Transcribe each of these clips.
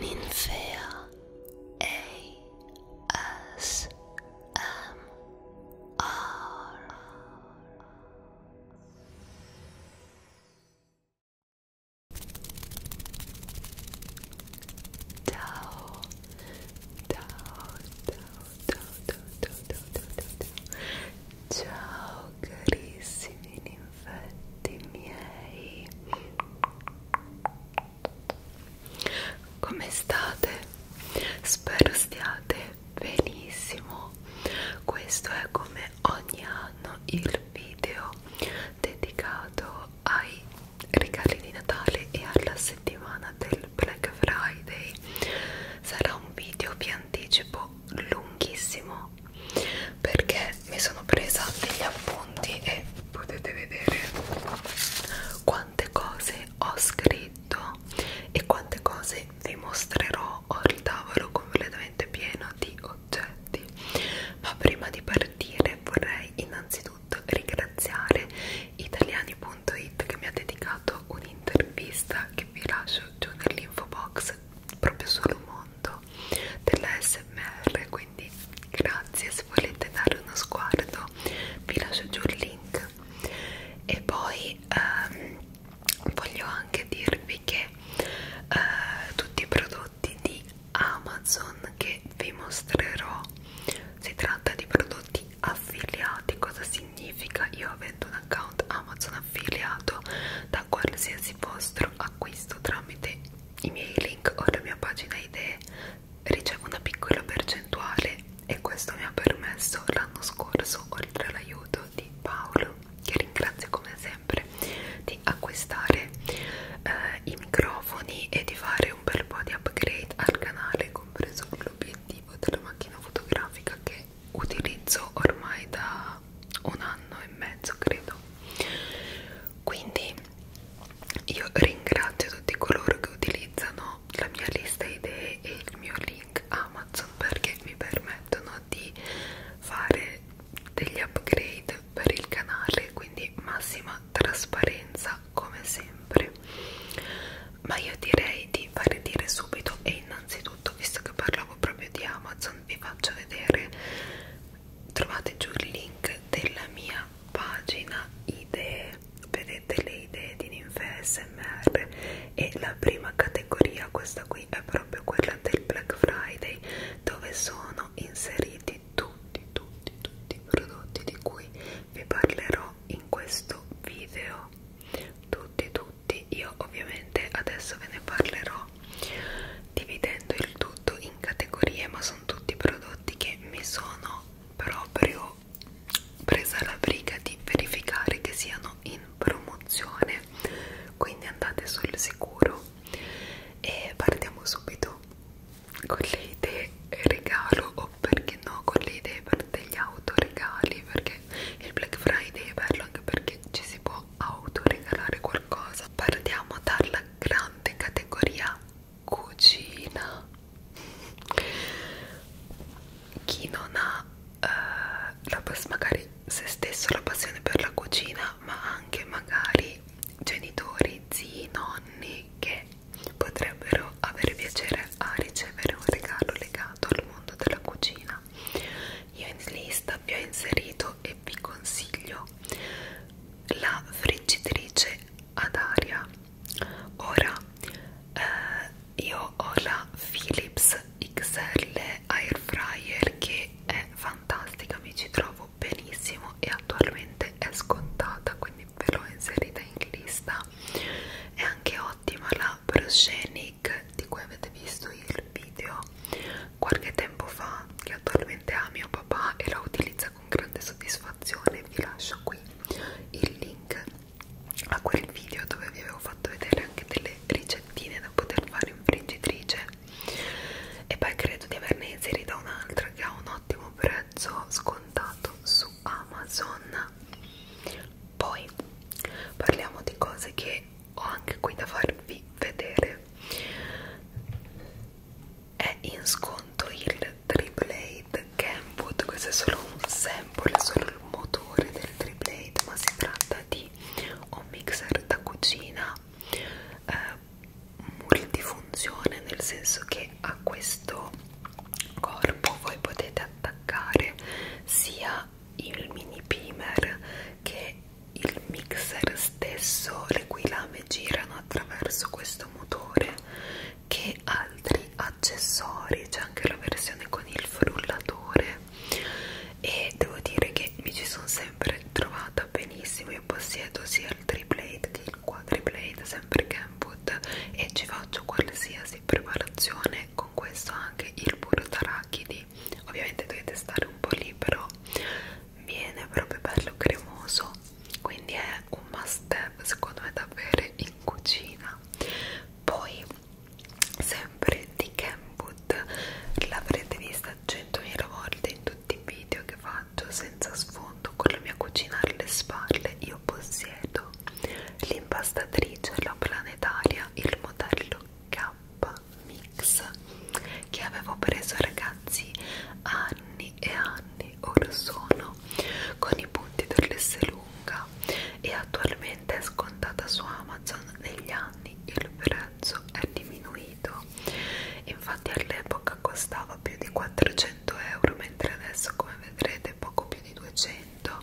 Ninfea ASMR Tao Tao Tao Tao Tao Tao Tao Tao Ciao carissimi infetti miei come state? spero stiate benissimo questo è come ogni anno il video dedicato ai regali di Natale e alla settimana del Black Friday sarà un video vi anticipo lunghissimo no perché mi sono presa degli appunti e potete vedere quante cose ho scritto e quante cose vi mostrerò ho il tavolo completamente pieno di oggetti ma prima di partire vorrei innanzitutto ringraziare italiani.it che mi ha dedicato un'intervista che vi lascio giù nell'info box proprio sul mondo della smr quindi grazie se volete dare uno sguardo vi lascio giù il link e poi ehm, voglio anche dirvi che eh, tutti i prodotti di Amazon che vi mostrerò si tratta di prodotti affiliati cosa significa? io avendo un account Amazon affiliato da qualsiasi vostro acquisto tramite i miei link o la mia pagina idee ricevo una piccola percentuale e questo mi ha permesso l'anno scorso, oltre all'aiuto di Paolo, che ringrazio come sempre, di acquistare eh, i microfoni e di fare un bel po' di upgrade al canale, compreso l'obiettivo della macchina fotografica che utilizzo ormai da un anno e mezzo, credo quindi io ringrazio tutti coloro che utilizzano la mia lista idee e il mio link Amazon perché mi permettono di fare degli upgrade per il canale quindi massima trasparenza come sempre ma io direi di fare dire subito e innanzitutto visto che parlavo proprio di Amazon vi faccio vedere trovate giù il link della mia pagina idee vedete le idee di ninfe smr e la prima categoria questa qui è proprio quella del black friday dove sono inseriti tutti tutti tutti i prodotti di cui vi parlerò in questo video tutti tutti io ovviamente adesso ve ne parlerò dividendo il tutto in categorie ma sono tutti prodotti che mi sono proprio presa la briga di verificare che siano in promozione quindi andate sul sicuro e partiamo subito con le idee regalo o perché no con le idee per degli autoregali perché il Black Friday è bello anche perché ci si può autoregalare qualcosa partiamo dalla una grande categoria cucina chi non ha eh, la magari se stesso la passione per la cucina ma anche magari genitori, zii, nonni che potrebbero avere piacere a ricevere un regalo legato al mondo della cucina io in lista vi ho inserito e vi consiglio la friggitrice ad aria ora eh, io ho la Philips XL air fryer che è fantastica mi ci trovo benissimo e attualmente è scontata quindi ve l'ho inserita in lista è anche ottima la Proschenic di cui avete visto il video qualche tempo fa che attualmente ha mio papà e la utilizza con grande soddisfazione vi lascio qui il link a quel video dove vi avevo fatto vedere anche delle ricettine da poter fare in friggitrice e poi credo di averne inserita un'altra che ha un ottimo prezzo scontato su Amazon poi parliamo di cose che ho anche qui da farvi vedere è in sconto il Triplade Kenwood questo è solo un sample, è solo il motore del Triplade ma si tratta di un mixer da cucina eh, multifunzione nel senso che a questo corpo voi potete attaccare sia il mini primer che il mixer stesso le cui lame girano attraverso questo motore che altri accessori c'è anche la versione con il frullatore e devo dire che mi ci sono sempre trovata benissimo io possiedo sia il triplate che il quadriplate sempre Kenwood e ci faccio qualsiasi preparazione con questo anche il burro tarachidi ovviamente dovete stare un po' lì però viene proprio bello cremoso quindi è un must have secondo me da bere in cucina poi sempre di Kenwood l'avrete vista 100.000 volte in tutti i video che faccio senza sfondo con la mia cucina alle spalle io possiedo l'impastatrice la planetaria il modello K Mix che avevo preso ragazzi ragazzi anni e anni or sono con i punti per l'S lunga e attualmente è scontata su Amazon negli anni il prezzo è diminuito infatti all'epoca costava più di 400 euro mentre adesso come vedrete poco più di 200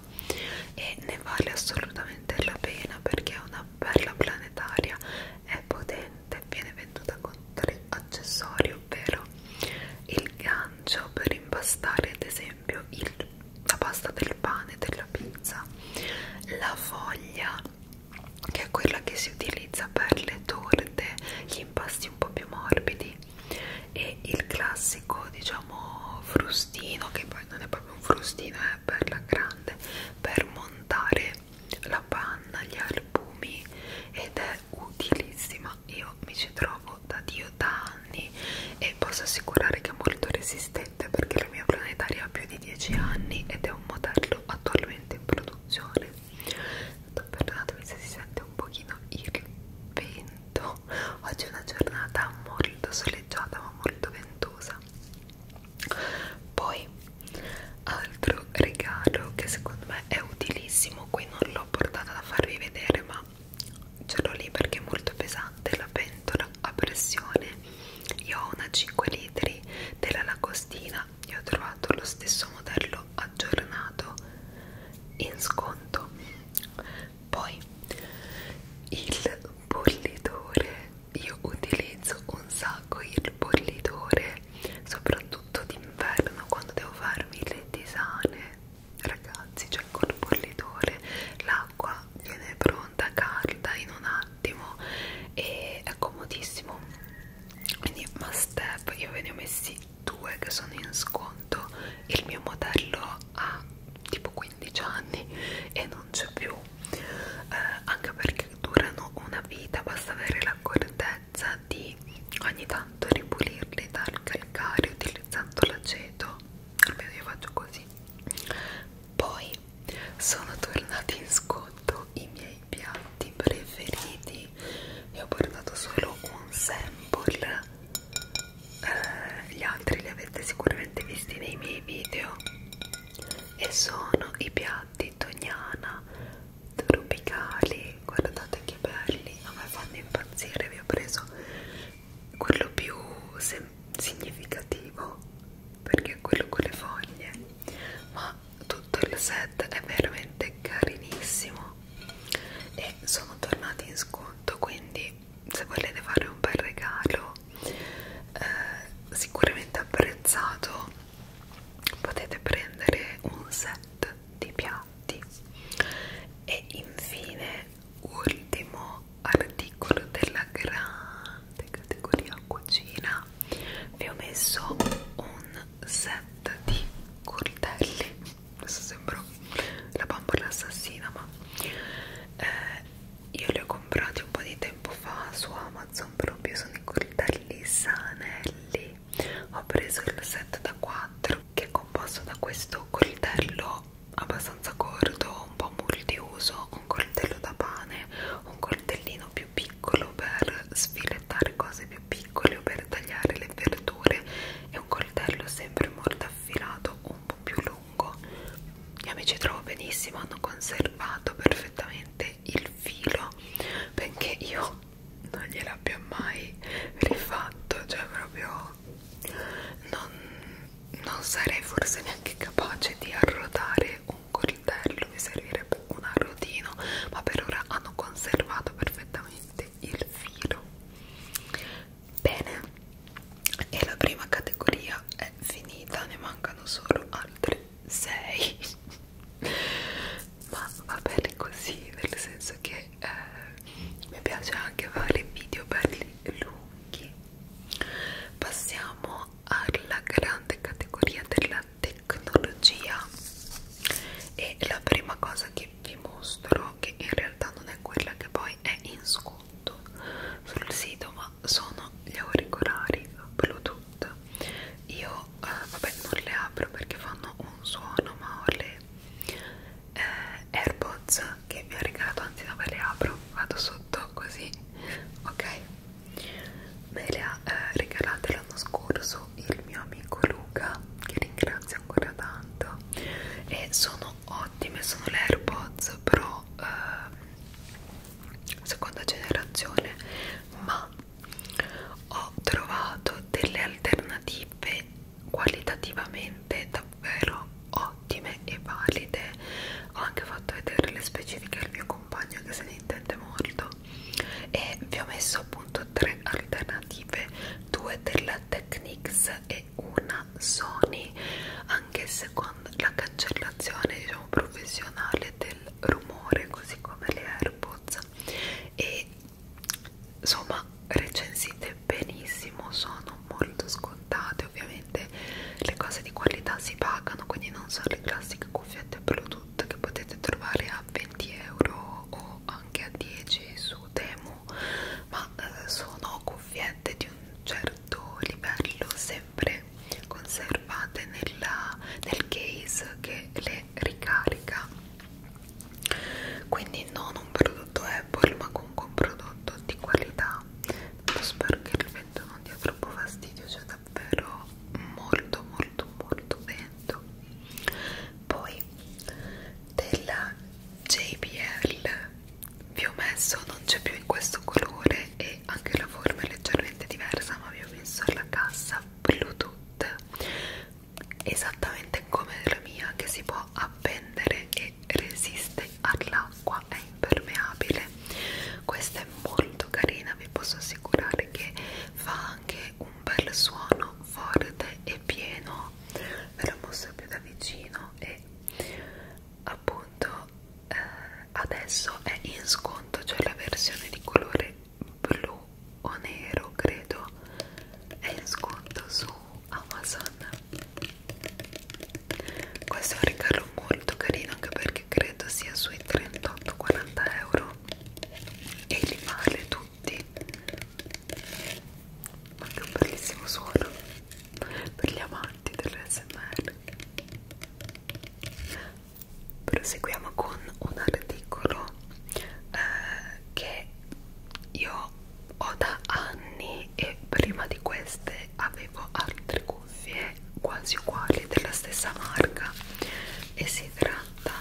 e ne vale assolutamente la pena perché è una bella planetaria è potente ed viene venduta con tre accessori ovvero il gancio per impastare ad esempio il, la pasta del pane della pizza la foglia che è quella che si utilizza per le torte gli impasti un po' più morbidi e il classico diciamo frustino che poi non è proprio un frustino è eh, per la grande per montare la panna, gli albumi ed è utilissima. Io mi ci trovo da Dio da anni e posso assicurare che è molto resistente perché la mia planetaria ha più di 10 anni ed è un modello attualmente in produzione. Perdonatemi se si sente un pochino il vento. Oggi è una giornata molto soleggiata ma molto ventosa. Poi altro regalo che secondo me è utilissimo qui non l'ho portata da farvi vedere ma ce l'ho lì perché è molto pesante la pentola a pressione io ho una 5 litri della lagostina e ho trovato lo stesso modello aggiornato in sconto poi il bollitore io utilizzo un sacco il bollitore soprattutto d'inverno quando devo farmi le tisane ragazzi cioè col bollitore l'acqua viene pronta calda in un attimo e è comodissimo quindi must have io ve ne ho messi due che sono in sconto il mio modello ha tipo 15 anni e non c'è più eh, anche perché durano una vita basta avere l'accortezza sicurezza di ogni tanto ripulirli dal calcare utilizzando l'aceto almeno io faccio così poi sono tornati in sconto i miei piatti preferiti e ho portato solo un sample eh, gli altri li avete sicuramente visti nei miei video e sono i piatti letognana tropicali guardate che belli a me fanno impazzire vi ho preso quello più significativo perché è quello con le foglie ma tutto il set è veramente carinissimo e sono tornati in sconto quindi se volete fare un bel regalo eh, sicuramente apprezzato potete prendere un set di piatti e infine ultimo articolo della grande categoria cucina vi ho messo un set di coltelli adesso sembro la bambola assassina ma eh, io li ho comprati un po' di tempo fa su Amazon proprio sono i coltelli sanelli ho preso il set da 4 che è composto da questo coltello abbastanza corto un po' multiuso un coltello da pane un coltellino più piccolo per sfilettare cose più piccole o per tagliare le verdure e un coltello sempre molto affilato un po' più lungo io mi ci trovo benissimo hanno conservato perfettamente il filo perché io non gliel'abbia mai rifatto cioè proprio non, non sarei forse neanche capace di arrotare un coltello mi servirebbe un arrotino ma per ora hanno conservato perfettamente il filo bene e la prima categoria è finita ne mancano solo altre 6 ma va bene così nel senso che eh, mi piace anche fare video belli lunghi passiamo alla grande categoria della tecnologia e la prima cosa che vi mostro che in realtà non è quella che poi è in sconto sul sito ma sono gli auricolari Bluetooth io eh, vabbè non le apro perché fanno un suono ma ho le eh, airpods che mi ha regalato anzi no ve le apro vado sotto così ok me le ha eh, regalate l'anno scorso il mio amico Luca che ringrazio ancora tanto e sono ottime sono le airpods però eh, seconda generazione ma ho trovato delle alternative qualitativamente davvero ottime e valide ho anche fatto vedere le specifiche al mio compagno che se ne intende molto e vi ho messo appunto tre alternative due della Technics e una Sony anche se con la cancellazione diciamo professionale del rumore così come le AirPods e insomma recensite benissimo sono molto scontate ovviamente le cose di qualità si pagano quindi non sono le classiche cuffiette bluetooth che potete trovare a 20 euro o anche a 10 su Temu ma eh, sono cuffiette di un certo livello sempre conservate nella, nel case che le ricarica quindi non un prodotto Apple ma comunque un prodotto di qualità Tanto spero che il vento non dia troppo fastidio c'è cioè davvero molto molto molto vento poi della JBL vi ho messo non c'è più in questo colore e anche la forma è leggermente diversa ma vi ho messo la cassa Bluetooth esattamente come la mia che si può appendere e resiste all'acqua, è impermeabile questa è molto carina, vi posso assicurare che fa anche un bel suono forte e pieno ve la mostro più da vicino e appunto eh, adesso è in sconto, cioè la versione di colore blu o nero credo è in sconto su Amazon questo è un regalo molto carino anche perché credo sia sui 38-40 euro e li vale tutti ma che un bellissimo suono per gli amanti dell'SMR proseguiamo con un articolo eh, che io ho da anni e prima di queste avevo altre cuffie quasi uguali della stessa marca e si tratta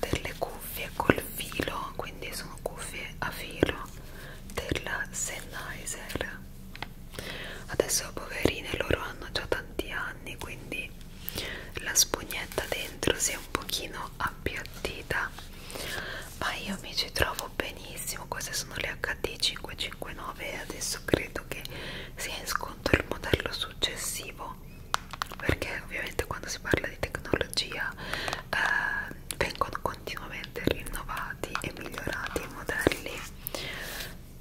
delle cuffie col filo quindi sono cuffie a filo della Sennheiser adesso poverine loro hanno già tanti anni quindi la spugnetta dentro sia un pochino appiattita ma io mi ci trovo benissimo queste sono le HD559 e adesso credo che sia in sconto il modello successivo perché ovviamente quando si parla di tecnologia eh, vengono continuamente rinnovati e migliorati i modelli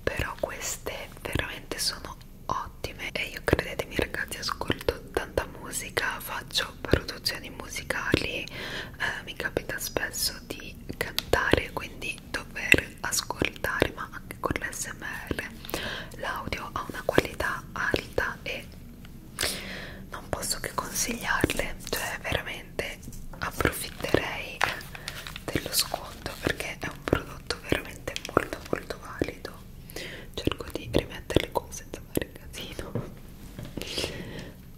però queste veramente sono ottime e io credetemi ragazzi ascolto tanta musica faccio produzioni musicali eh, mi capita spesso di cantare quindi dover ascoltare ma anche con l'SMR l'audio ha una qualità alta e non posso che consigliarle cioè veramente approfitterei dello sconto perché è un prodotto veramente molto molto valido cerco di rimettere le cose senza fare casino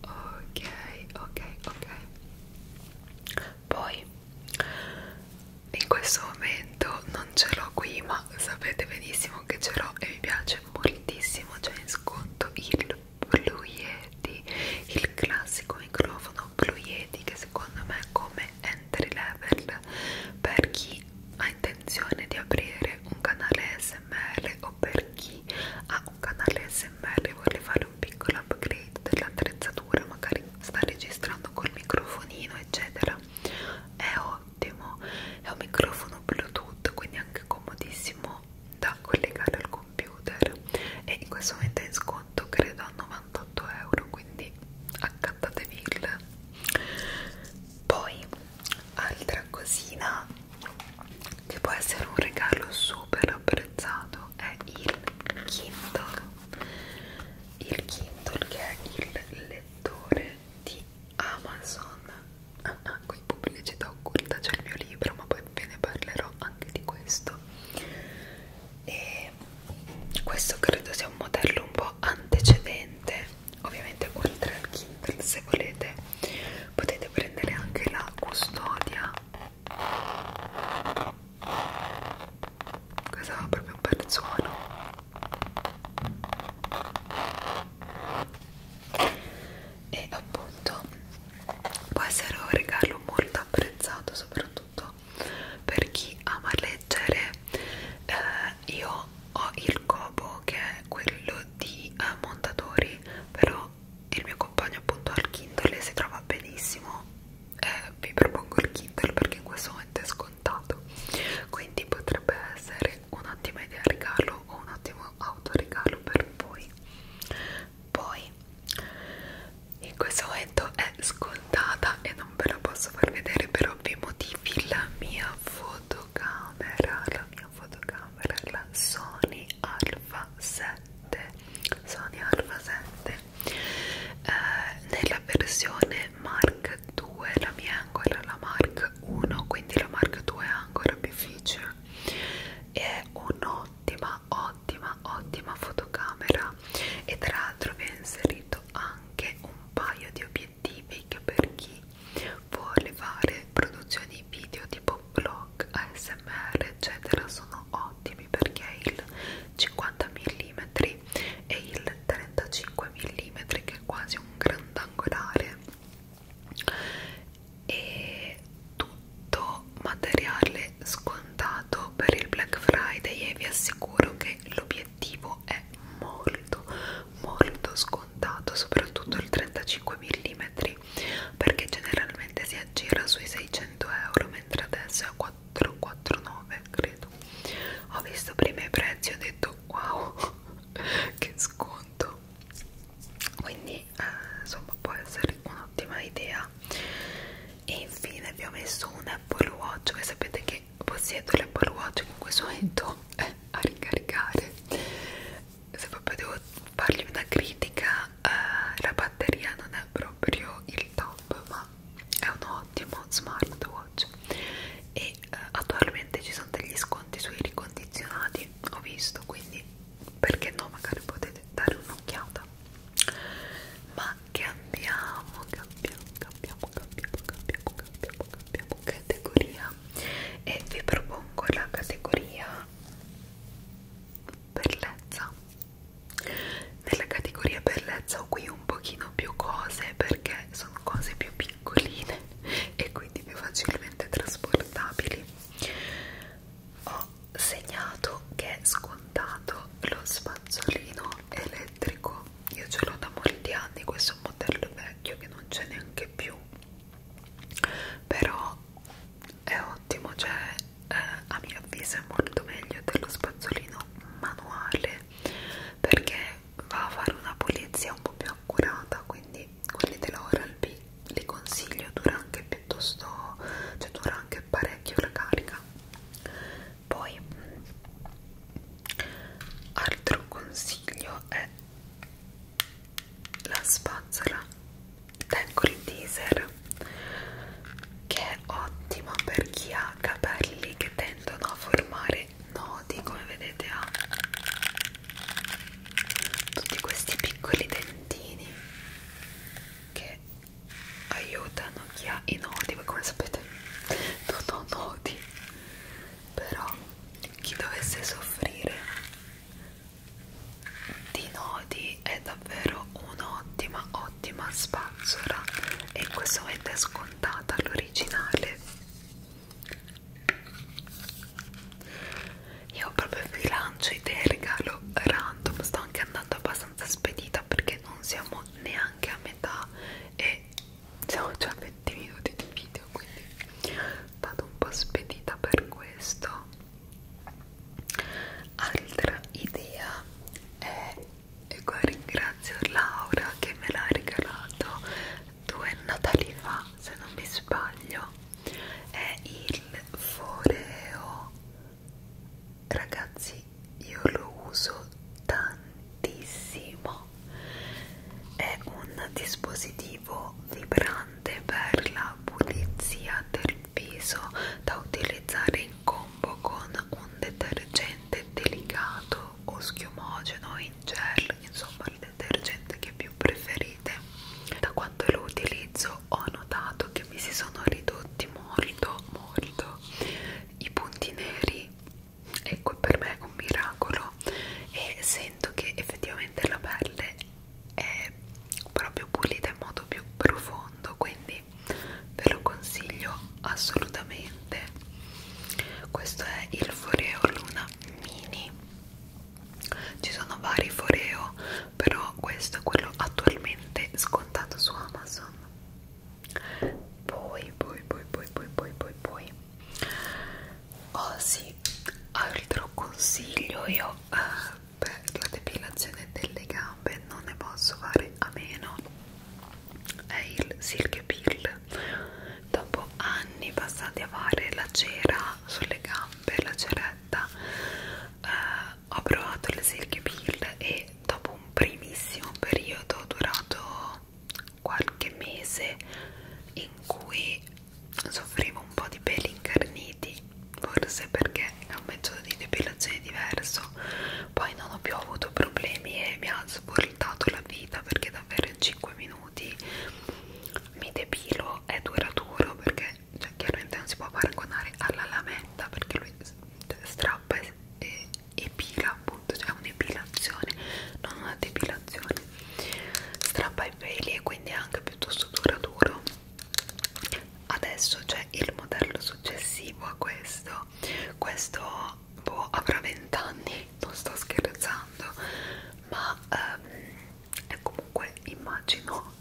ok ok ok poi in questo momento non ce l'ho qui ma sapete benissimo che ce l'ho e mi piace moltissimo c'è in sconto il Blue Yeti il classico microfono Blue Yeti che secondo me come è entry level per chi ha intenzione di aprire un canale smr o per chi ha un canale smr e vuole fare un piccolo upgrade dell'attrezzatura magari sta registrando col microfonino eccetera è ottimo è un microfono bluetooth quindi anche comodissimo da collegare al computer e in questo momento è in sconto credo a 98 euro quindi a Cantateville poi altra cosina che può essere un regalo super apprezzato è il Kindle il Kindle che è il lettore di Amazon ah, ah, qui pubblicità occulta c'è il mio libro ma poi ve ne parlerò anche di questo e questo credo sia un modello un po' antecedente ovviamente oltre al Kindle se volete potete prendere anche la custodia questo va proprio un bel suono e appunto può essere un regalo molto apprezzato soprattutto per chi ama leggere eh, io ho il cobo che è quello di uh, Montatori però il mio compagno appunto al Kindle si trova benissimo eh, vi propongo il Kindle perché in questo momento è scontato quindi potrebbe essere un'ottima idea regalo o un ottimo autoregalo per voi poi in questo momento è scontato montata e non ve la posso far vedere per ovvi motivi la mia fotocamera la mia fotocamera la Sony Alpha 7 Sony Alpha 7 eh, nella versione Mark 2 la mia è ancora la Mark 1 quindi la Mark 2 ha ancora più feature è un'ottima ottima ottima fotocamera e tra l'altro vi ho inserito anche un paio di obiettivi scientifiche per chi vuole fare produzioni video tipo vlog, ASMR eccetera sono ottimi perché il 50 mm e il 35 mm che è quasi un grandangolare e tutto materiale scontato per il Black Friday e vi assicuro che l'obiettivo correttivo è molto molto scontato soprattutto il 35 mm perché generalmente si aggira sui 600 euro mentre adesso è a 449 credo ho visto prima i prezzi ho detto wow che sconto quindi eh, insomma può essere un'ottima idea e infine vi ho messo un Apple Watch che sapete che che possiedo l'Apple Watch che in questo momento è eh, a ricaricare se proprio devo fargli una critica eh, la batteria non è proprio il top ma è un ottimo smartwatch e eh, attualmente ci sono degli sconti sui ricondizionati ho visto quindi perché no magari potete dare un'occhiata ma cambiamo cambiamo cambiamo, cambiamo, cambiamo, cambiamo, cambiamo categoria e vi propongo la categoria bellezza nella categoria bellezza ho qui un pochino più cose perché sono cose più piccoline e quindi più facilmente trasportabili ho segnato che è scontato lo spazzolino elettrico io ce l'ho da molti anni questo modello vecchio che non c'è neanche più però è ottimo cioè eh, a mio avviso è molto meglio dello spazzolino manuale perché va a fare una pulizia un po' più accurata quindi quelli dell'Oral B li consiglio dura anche piuttosto cioè dura anche parecchio la carica poi altro consiglio è la spazzola tengo il teaser che è ottimo per chi ha capelli che tendono a formare nodi come vedete ha tutti questi piccoli dentini che aiutano chi ha i nodi, voi come sapete non ho nodi però chi dovesse soffrire di nodi è davvero un'ottima ottima spazzola e in questo momento è scontata l'originale io proprio vi lancio idee regalo random sto anche andando abbastanza spedita perché non siamo neanche a metà e siamo già a 20 minuti di video quindi vado un po' spedita per questo altra idea è e ecco, qua ringrazio Laura che me l'ha regalato due Natali fa se non mi sbaglio è il foreo ragazzi io lo uso tantissimo è un dispositivo vibrante per la pulizia del viso da utilizzare in combo con un detergente delicato o schiumogeno in gel insomma il detergente che più preferite da quando lo utilizzo ho notato che mi si sono ridotti molto molto i punti neri ecco per me è un miracolo e sento che effettivamente la pelle è proprio pulita in modo più profondo quindi ve lo consiglio assolutamente questo è il Foreo Luna Mini ci sono vari Foreo però questo è quello attualmente scontato su Amazon poi poi poi poi poi poi poi poi oh sì altro ah, consiglio io eh, per la depilazione delle gambe non ne posso fare a meno è il silk peel dopo anni passati a fare la cera sulle gambe la ceretta eh, ho provato le silk peel e dopo un primissimo periodo durato qualche mese in cui soffrivo un po' di peli incarniti forse perché è un metodo di depilazione diverso poi non ho più avuto problemi e mi ha svoltato la vita perché davvero in 5 minuti mi depilo è duraturo perché cioè, chiaramente non si può paragonare alla lametta perché lui strappa e, e epila appunto, cioè un'epilazione, non una depilazione strappa i peli e quindi è anche piuttosto duraturo adesso c'è il modello successivo a questo questo boh, avrà 20 anni, non sto scherzando ma ehm, è comunque immagino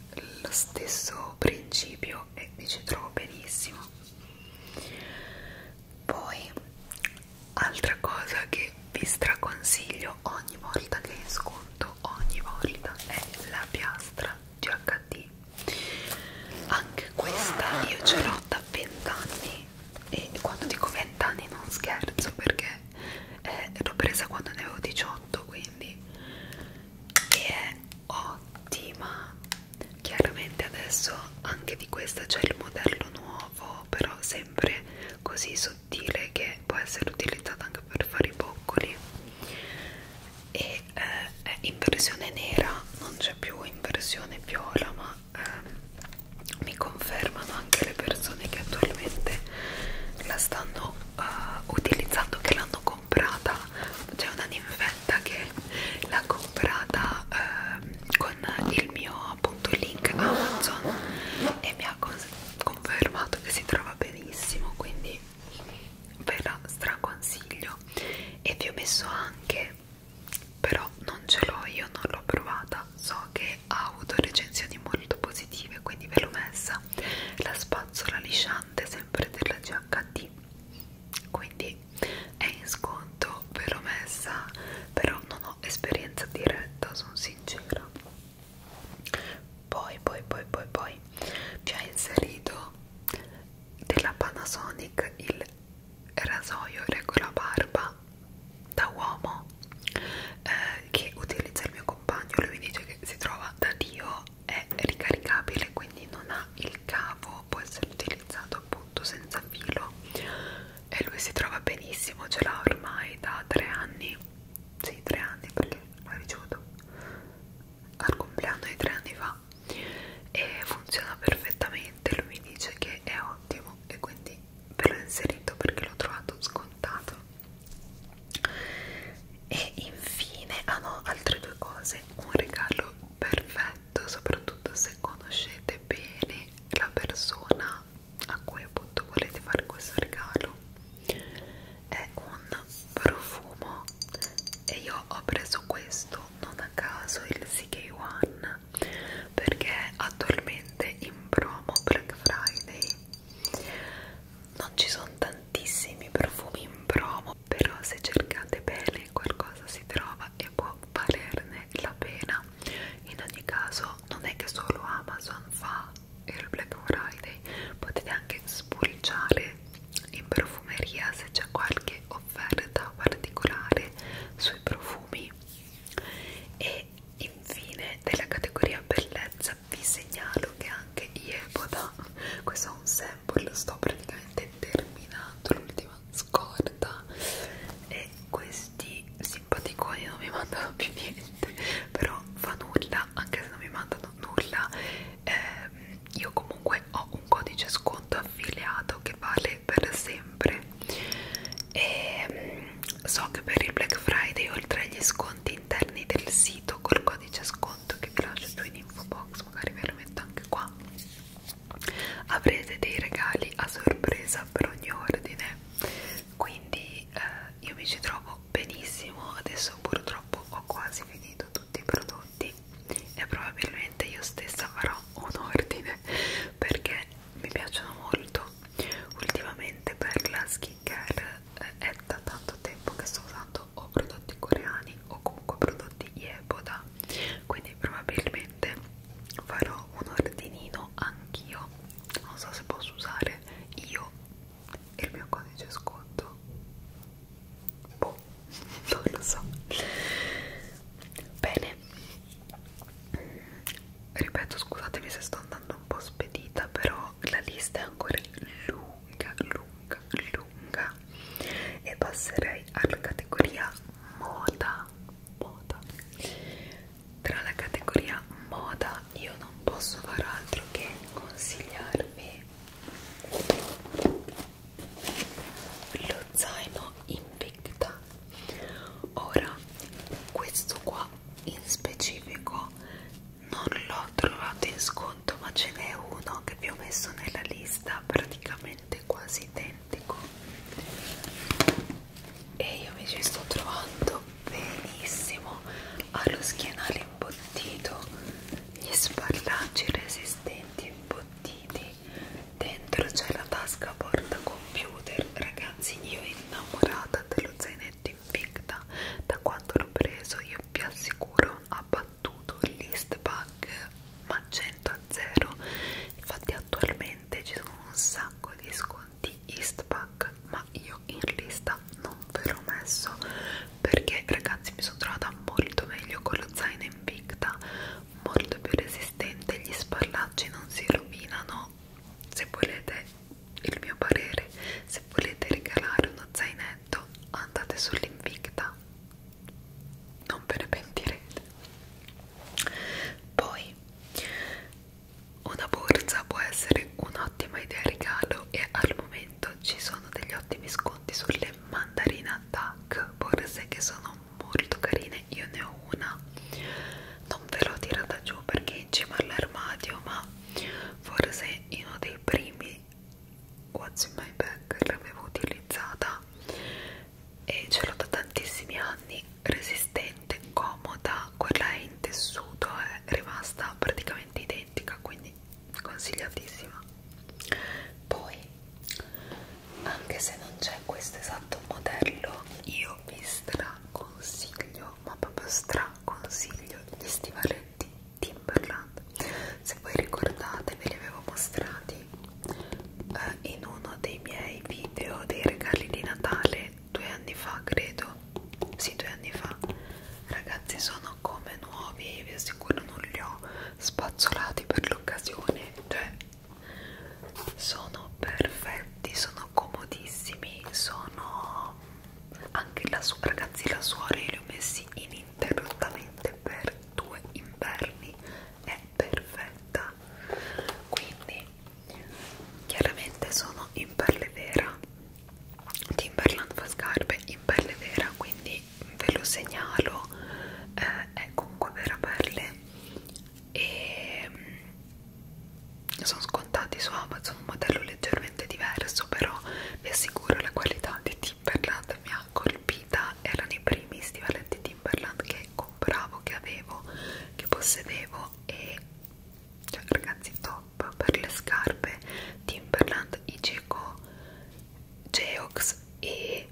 lo stesso principio e mi ci trovo benissimo poi altra cosa che vi straconsiglio ogni volta che sconto ogni volta è la piastra GHD anche questa io ce l'ho da 20 anni e quando dico 20 anni non scherzo perché eh, l'ho presa quando ne avevo 18 quindi e è ottima chiaramente adesso anche di questa c'è il modello nuovo nuovo però sempre così sottile che può essere utilizzata anche per fare i boccoli e eh, è in versione nera non c'è più in versione viola ma eh, mi confermano anche le persone che attualmente la stanno eh, utilizzando che l'hanno comprata c'è una ninfetta che l'ha comprata comprata eh, con il mio appunto link Amazon e mi ha confermato che si trova benissimo quindi ve la straconsiglio e vi ho messo anche però non ce l'ho io non l'ho provata so che ha avuto recensioni molto positive quindi ve l'ho messa la spazzola lisciante sempre della GHD quindi è in sconto ve l'ho messa però non ho esperienza diretta, sono sincera. Poi, poi, poi, poi, poi mi ha inserito della Panasonic il rasoio regola barba da uomo eh, che utilizza il mio compagno. Lui mi dice che si trova da Dio, è ricaricabile, quindi non ha il cavo, può essere utilizzato appunto minuto senza filo e lui si trova benissimo ce l'ha ormai da tre anni sì tre anni perché l'ho ricevuto al compleanno di tre anni fa e funziona perfettamente lui mi dice che è ottimo e quindi ve l'ho inserito perché l'ho trovato scontato e infine hanno ah altre due cose un regalo perfetto soprattutto se conoscete bene la persona a cui appunto volete fare questo regalo è un profumo e io ho preso questo non a caso il CK1 perché attualmente in promo Black Friday non ci sono tantissimi profumi in promo però se cercate bene qualcosa si trova e può valerne la pena in ogni caso non è che solo Amazon fa il Black Friday potete anche spulciare in profumeria se c'è qualche offerta particolare sui profumi e infine della categoria bellezza vi segnalo che anche Ieboda questo è un sample sto praticamente terminando l'ultima scorta e questi simpaticoni non mi mandano più niente però fa nulla anche se non mi mandano nulla eh, io comunque ho un codice sconto affiliato che vale per sempre e ehm, so che per il Black Friday oltre agli sconti interni del sito col codice sconto che vi lascio giù in info box magari ve lo metto anche qua avrete dei regali a sorpresa per ogni ordine quindi eh, io mi ci trovo benissimo adesso purtroppo ho quasi finito tutti i prodotti e probabilmente io stessa farò un ordine perché mi piacciono molto ultimamente per la skincare eh, è da tanto tempo che sto usando o prodotti coreani o comunque prodotti Yeboda quindi probabilmente sicuramente farò un ordinino anch'io non so se posso usare io il mio codice sconto boh, non lo so bene ripeto scusatemi se sto andando un po' spedita però la lista è ancora lunga lunga lunga e passerei alla categoria moda moda tra la categoria moda io non posso far altro che consigliarvi lo zaino invicta ora questo qua in specifico non l'ho trovato in sconto ma ce n'è uno che vi ho messo nella lista praticamente quasi dentro identico e io invece sto trovando benissimo allo schienale imbottito gli sballaggi resistenti imbottiti dentro c'è la tasca porta computer ragazzi io innamorata dello zainetto invicta da quando l'ho preso io vi assicuro ha battuto list bug ma 100 a 0 infatti attualmente ci sono un sacco di sconti di Eastpak ma io in lista non ve l'ho messo perché ragazzi mi sono trovata molto meglio con lo zaino Invicta molto più resistente gli spallacci non si rovinano se volete il mio parere se volete regalare uno zainetto andate sull'Invicta non ve ne pentirete poi una borsa può essere un'ottima idea regalo e al momento ci sono degli ottimi sconti sulle mandarina duck borse che sono molto carine, io ne ho una, non ve l'ho tirata giù perché è in cima all'armadio, ma forse in uno dei primi What's in my bag l'avevo utilizzata e ce l'ho da tantissimi anni resistente, comoda quella è in tessuto è rimasta praticamente identica quindi consigliatissima poi anche se non c'è questo esatto modello io vi straconsiglio ma proprio straconsiglio gli stivaletti Timberland se voi ricordate ve li avevo mostrati eh, in uno dei miei video dei regali di Natale due anni fa credo sì due anni fa ragazzi sono come nuovi vi assicuro non li ho spazzolati per l'occasione cioè sono perfetti sono comodissimi sono anche la sua ragazzi la suora io li ho messi ininterrottamente per due inverni è perfetta quindi chiaramente sono in perle vera Timberland fa scarpe in perle vera quindi ve lo segnalo eh, è comunque vera perle e mm, sono scontati su Amazon un modello leggermente diverso però vi assicuro la qualità di Timberland mi ha colpita erano i primi stivaletti Timberland che compravo che avevo che possedevo e cioè, ragazzi top per le scarpe Timberland, Igeco, Geox e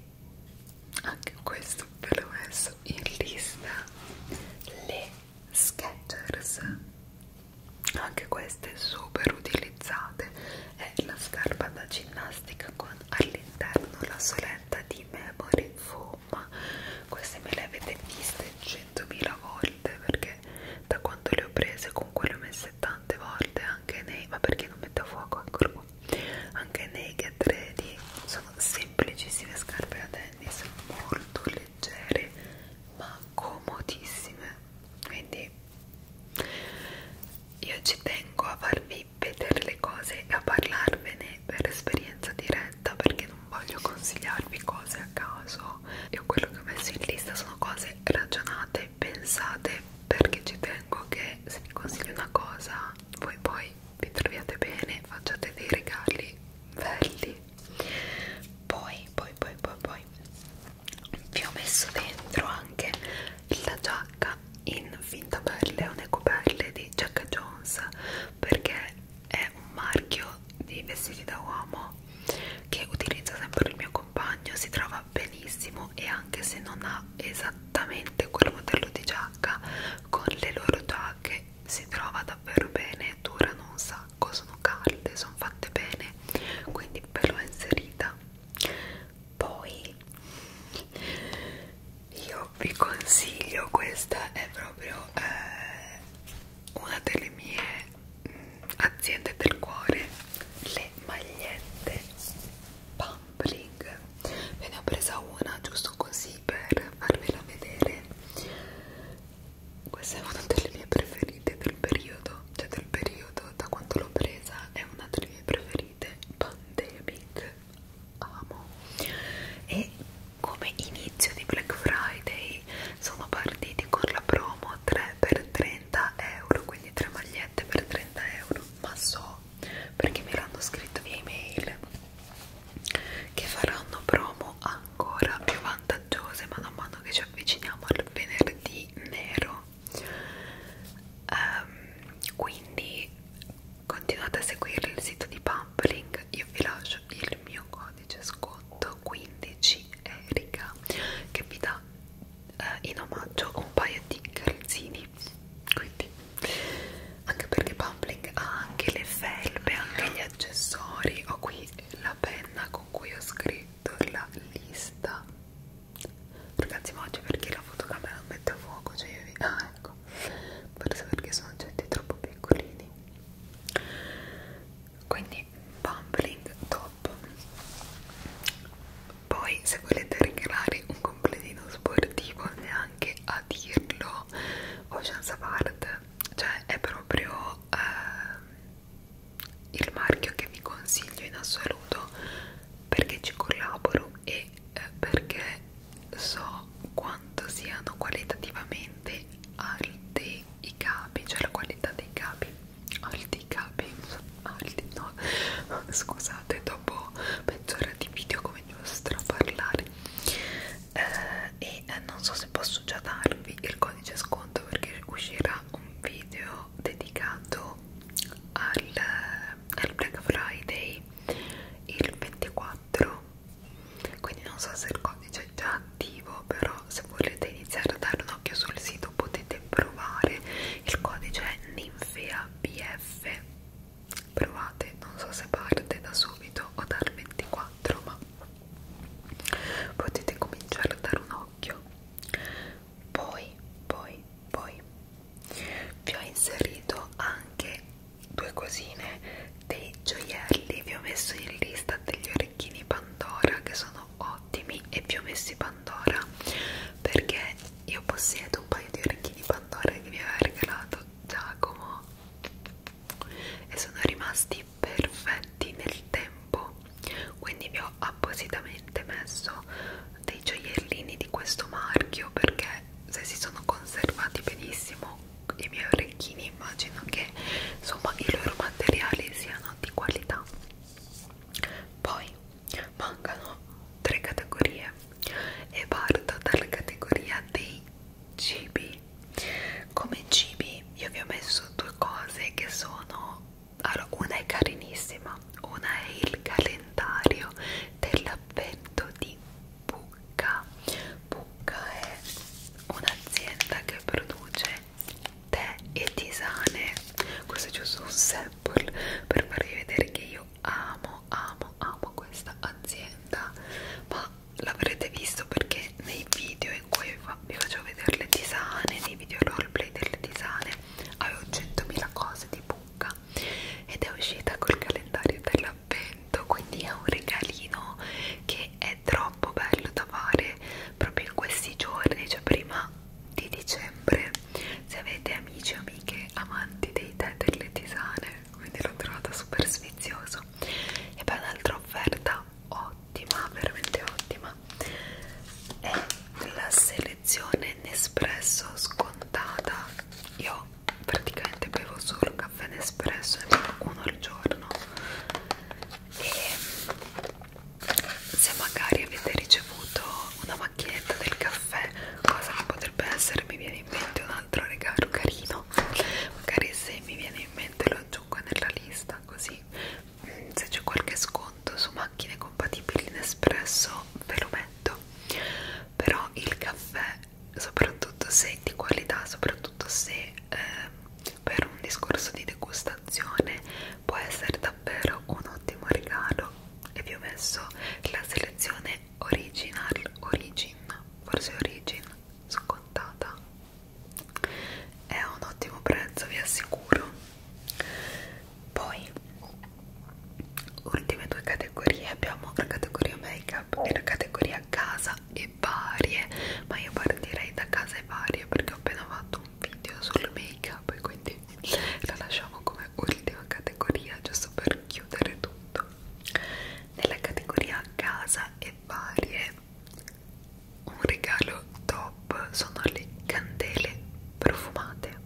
anche questo ve l'ho messo in lista le Skechers anche queste super utilizzate è la scarpa da ginnastica con all'interno la soletta di memory foam gomma queste me le avete viste 100.000 volte perché da quando le ho prese comunque le ho messe tante volte anche nei ma perché non mette a fuoco ancora qua anche nei get ready sono semplicissime scarpe da tennis molto leggere ma comodissime quindi io ci tengo a farvi vedere le cose e a parlarvene è per esperienza diretta perché non voglio consigliarvi cose a caso io quello che ho messo in lista sono cose ragionate, pensate perché ci tengo che se vi consiglio una cosa voi poi vi troviate bene, facciate dei regali belli poi poi poi poi poi vi ho messo dentro anche la giacca in finta pelle o necopelle di Jack Jones perché è un marchio di vestiti da uomo che utilizza sempre il mio compagno, si trova benissimo e anche se non ha esattamente quel modello di giacca, con le loro giacche si trova davvero bene, durano un sacco, sono calde, sono fatte bene, quindi ve l'ho inserita. Poi io io ecco, vi consiglio questa è proprio eh, una delle mie mh, mm, aziende del cuore le magliette pampling ve ne ho presa una giusto così per farvela vedere questa è una delle mie preferite del periodo cioè del periodo da quando l'ho presa è una delle mie preferite pandemic amo e come inizio di Black Friday sono partiti con la promo 3 per 30 euro quindi 3 magliette per 30 euro ma so perché me l'hanno scritto via email che faranno promo ancora più vantaggiose man mano che ci avviciniamo al venerdì nero um, quindi Continuate a seguire il sito di Pampling, io vi lascio il mio codice sconto 15ERICA che vi dà eh, in omaggio un paio di calzini. Quindi, anche perché Pampling ha anche le felpe, anche gli accessori. Ho qui la penna con cui ho scritto la lista. Ragazzi, ma oggi perché la fotocamera non mette a fuoco? Cioè io vi... Ah, ecco, forse perché sono oggetti troppo piccolini quindi pumpling top poi se volete regalare un completino sportivo neanche a dirlo Ocean's Apart cioè è proprio eh, il marchio che vi consiglio in assoluto perché ci collaboro e eh, perché so quanto siano qualitativamente alti i capi, cioè la qualità dei capi, alti i capi, alti no, scusate, dopo mezz'ora di video comincio a parlare eh, e eh, non so se posso già darvi il codice sconto perché uscirà un video dedicato al, eh, al Black Friday il 24 quindi non so se il codice è già attivo però se volete iniziare a dare un occhio sul sito potete provare il codice è ninfea bf provate non so se parte da subito o dal 24 ma potete cominciare a dare un occhio poi poi poi vi ho inserito anche due cosine dei gioielli vi ho messo in lista degli orecchini Pandora che sono ottimi e vi ho messi Pandora perché io possiedo un paio di orecchini Pandora che mi aveva regalato Giacomo e sono rimasti perfetti nel tempo quindi vi ho appositamente messo dei gioiellini di questo marchio perché se si sono conservati benissimo i miei orecchini immagino che insomma i loro materiali siano di qualità poi mancano tre categorie e parto dalla categoria dei cibi come cibi io vi ho messo due cose che sono allora, una è carinissima una è il calendario dell'avvento di Bucca Bucca è un'azienda che produce tè e tisane questo è giusto un sample per farvi vedere che io amo amo amo questa azienda ma l'avrete visto perché nei video in cui vi faccio vedere le tisane nei video roleplay delle tisane avevo 100.000 cose di bucca ed è uscita col calendario della avvento quindi è un regalino che è troppo bello da fare proprio in questi giorni cioè prima di dicembre se avete amici o amiche amanti dei tè delle tisane quindi l'ho trovata super sfizioso e poi un'altra offerta ottima veramente ottima è la selezione Nespresso scontata io praticamente bevo solo caffè ed espresso uno al giorno e se magari avete ricevuto una macchinetta del caffè cosa che potrebbe essere mi viene in mente un altro regalo carino magari se mi viene in mente lo aggiungo nella lista così mm, se c'è qualche sconto su macchine compatibili in espresso ve lo metto però il caffè soprattutto se di qualità, soprattutto se eh, per un discorso di degustazione può essere davvero un ottimo regalo e vi ho messo la selezione original origin, forse origin scontata è un ottimo prezzo vi assicuro poi ultime due categorie abbiamo la categoria make up e la categoria casa e varie ma io partirei da case varie perché ho appena fatto un video sul make up e quindi la lasciamo come ultima categoria giusto per chiudere tutto nella categoria casa e varie un regalo top sono le candele profumate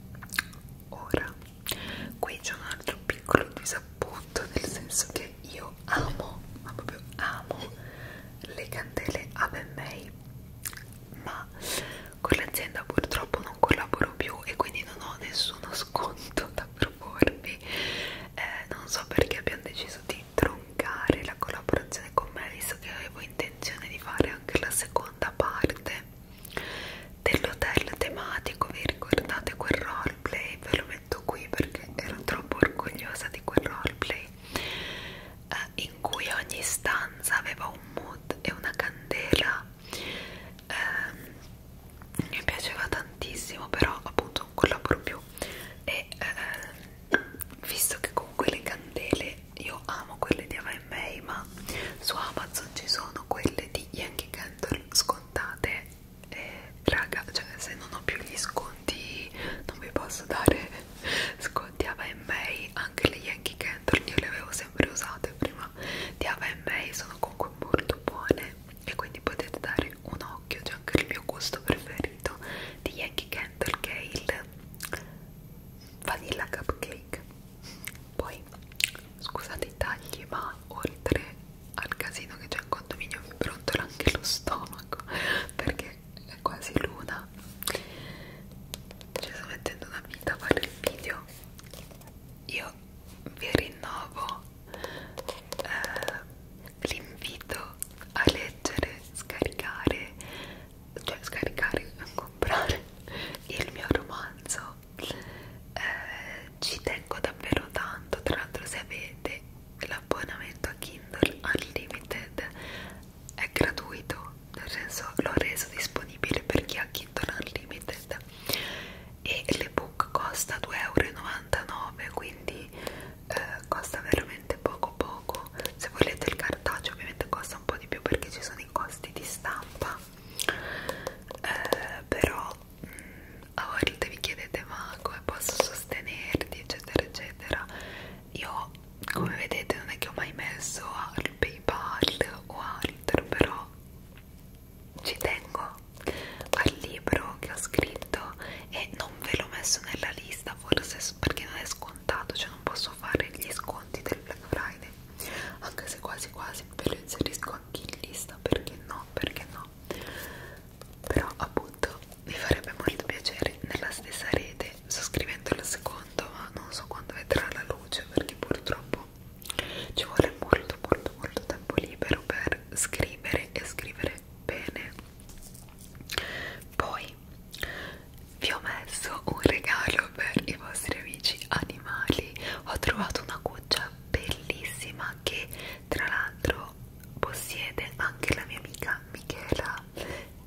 ora qui c'è un altro piccolo disappunto nel senso che io amo, ma proprio amo le candele Avenmei ma con l'azienda purtroppo non collaboro più e quindi non ho nessuno sconto da proporvi eh, non so perché abbiamo deciso di troncare la collaborazione con me visto che avevo intenzione di fare anche la seconda parte dell'hotel tematico vi ricordate quel roleplay ve lo letto qui perché ero troppo orgogliosa di quel roleplay eh, in cui ogni stanza aveva un mood e una candela eh, mi piaceva tantissimo però appunto non collaboro più e eh, visto che comunque le candele io amo quelle di AMA ma su Amazon ci sono quelle di Yankee Candle scontate eh, raga cioè se non ho più gli sconti non vi posso dare sconti a May anche le Yankee Candle io le avevo sempre usate prima di May sono comunque molto buone e quindi potete dare un occhio c'è anche il mio gusto preferito di Yankee Candle che è il vanilla cupcake poi scusate i tagli ma oltre al casino che c'è in condominio mi brontola anche lo stomaco perché è quasi luna ci sto mettendo una vita a fare il video io vi rinnovo eh, l'invito a leggere scaricare cioè scaricare a comprare il mio romanzo eh, ci tengo davvero tanto tra l'altro se avete l'abbonamento a Kindle Unlimited è gratuito, nel senso l'ho reso disponibile per chi ha Kindle Unlimited e l'ebook costa 2,99€, quindi eh, costa veramente poco poco. Se volete il cartaceo ovviamente costa un po' di più perché ci sono i costi di stampa, eh, però mh, mm, a ah, volte vi chiedete ma come posso sostenerti eccetera eccetera io come vedete non è che ho mai messo al paypal o altro però ci tengo al libro che ho scritto e non ve l'ho messo nella lista forse perché non è scontato cioè non posso fare gli sconti del Black Friday anche se quasi quasi ve lo inserisco anche in lista perché no perché no però appunto vi farebbe molto piacere nella stessa rete sottoscrivendo il secondo ma non so quando vedrà la luce perché purtroppo ci vuole molto molto molto tempo libero per scrivere e scrivere bene poi vi ho messo un regalo per i vostri amici animali ho trovato una cuccia bellissima che tra l'altro possiede anche la mia amica Michela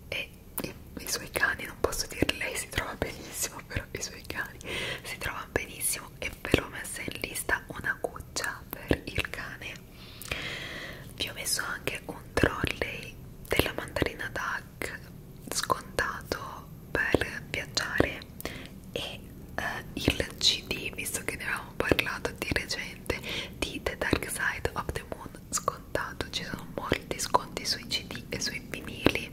e i, i suoi cani, non posso dire lei si trova benissimo, però i suoi cani si trovano benissimo e ve l'ho messa in lista una cuccia per il cane. Vi ho messo anche un trolley della mandarina DAC scontato per viaggiare e eh, il CD, visto che ne avevamo abbiamo parlato di recente di The Dark Side of the Moon scontato, ci sono molti sconti sui cd e sui vinili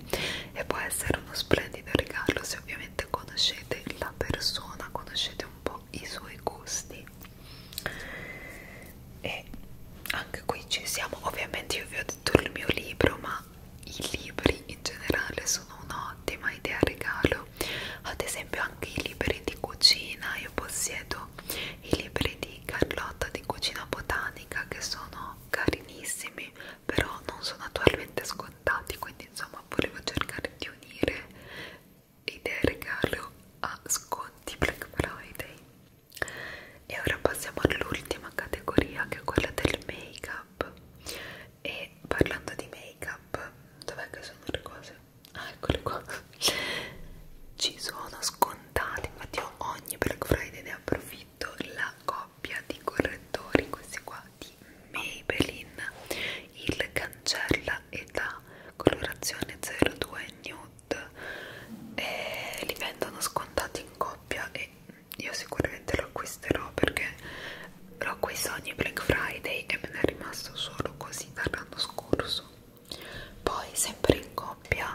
e può essere uno splendido regalo se ovviamente conoscete la persona, conoscete un po' i suoi gusti e anche qui ci siamo, ovviamente io vi ho detto il mio libro ma i libri in generale sono un'ottima idea regalo libro ad esempio anche i libri di cucina io possiedo i libri di Carlotta di cucina botanica che sono carinissimi però non sono attualmente scontati quindi insomma volevo cercare di unire idee regalo a sconti Black Friday e ora passiamo all'ultima categoria che è quella del make up e parlando di make up dov'è che sono le cose ah, eccole qua ci sono scontate infatti ho ogni Black Friday ne approfitto la coppia di correttori questi qua di Maybelline il cancella e la colorazione 02 nude e li vendono scontati in coppia e io sicuramente lo acquisterò perché l'ho acquistato ogni Black Friday e me ne è rimasto solo così sì, l'anno scorso. Poi, sempre in coppia,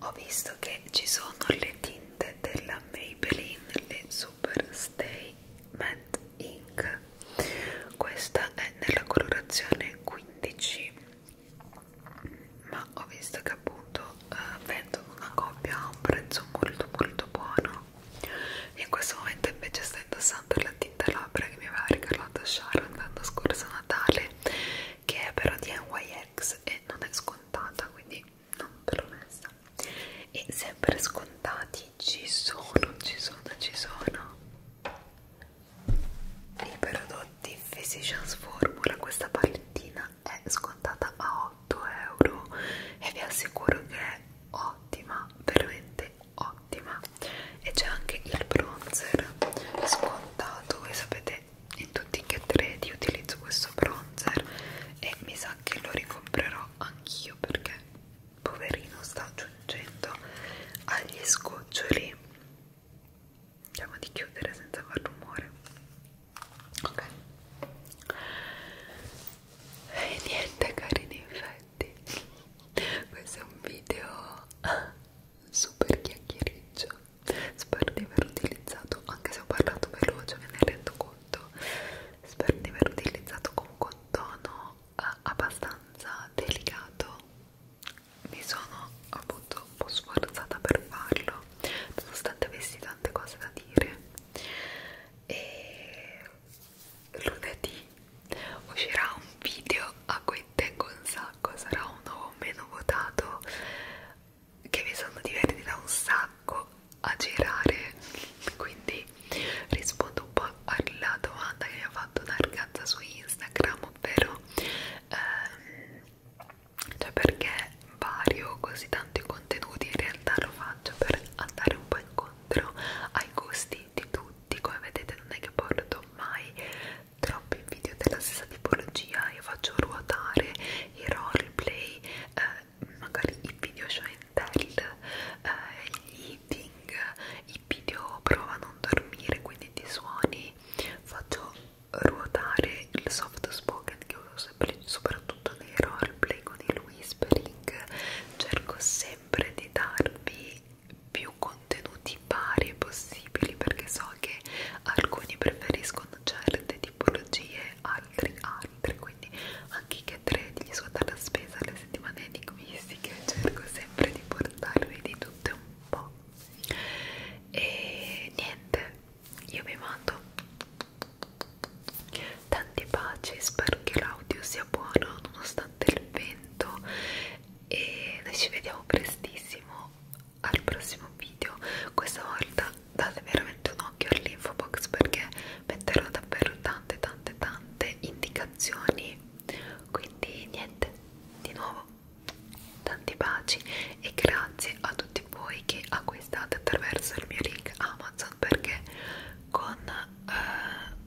ho visto che ci sono le tinte della Maybelline, le Super Stay Matte Ink. Questa è nella colorazione 15, ma ho visto che appunto eh, vendono una coppia a un prezzo molto molto buono. In questo momento invece sto indossando la tinta labbra quella che mi aveva regalato Sharon l'anno scorso Natale che è però di NYX e non è scontata quindi non ve l'ho messa e sempre scontati ci sono, ci sono, ci sono i prodotti Physicians Formula questa palettina è scontata a 8 euro e vi assicuro che è ottima veramente ottima e c'è anche il bronzer scontato voi sapete in tutti i get ready utilizzo questo bronzer e mi sa che lo ricomprerò anch'io perché poverino sta aggiungendo agli scoccioli Andiamo di chiudere senza far rumore. Ok. E niente, cari ninfetti. Perfetti. Questo è un video super chiacchiericcio, spero di aver utilizzato, anche se ho parlato veloce me ne rendo conto, spero di aver utilizzato comunque un tono eh, abbastanza delicato, mi sono appunto un po' sforzata per farlo, nonostante avessi tante cose da dire. E lunedì uscirà un video a cui tengo un sacco, sarà uno meno votato che mi sono divertita un sacco a girare quindi rispondo un po' alla domanda che mi ha fatto una ragazza su Instagram ovvero ehm, cioè perché vario così tanti contenuti in realtà lo faccio per andare un po' incontro ai gusti di, di tutti come vedete non è che porto mai troppi video della stessa tipologia io faccio ruotare i roleplay eh, magari i video show and tell eh, gli eating i video prova a non dormire quindi ti suoni faccio ruotare il soft spoken che uso sempre, soprattutto nei roleplay con il whispering cerco sempre di darvi più più contenuti vari possibili perché so che alcuni preferiscono certe tipologie, altri altri, quindi anche che credi di svuotare la spesa alle settimane enigmistiche cerco sempre di portarvi di tutte un po' e niente, io vi mando tanti baci, spero che l'audio sia buono nonostante il vento e noi ci vediamo prestissimo al prossimo video questa volta date veramente un occhio all'info box perché metterò davvero tante tante tante indicazioni quindi niente di nuovo tanti baci e grazie a tutti voi che acquistate attraverso il mio link Amazon perché con eh,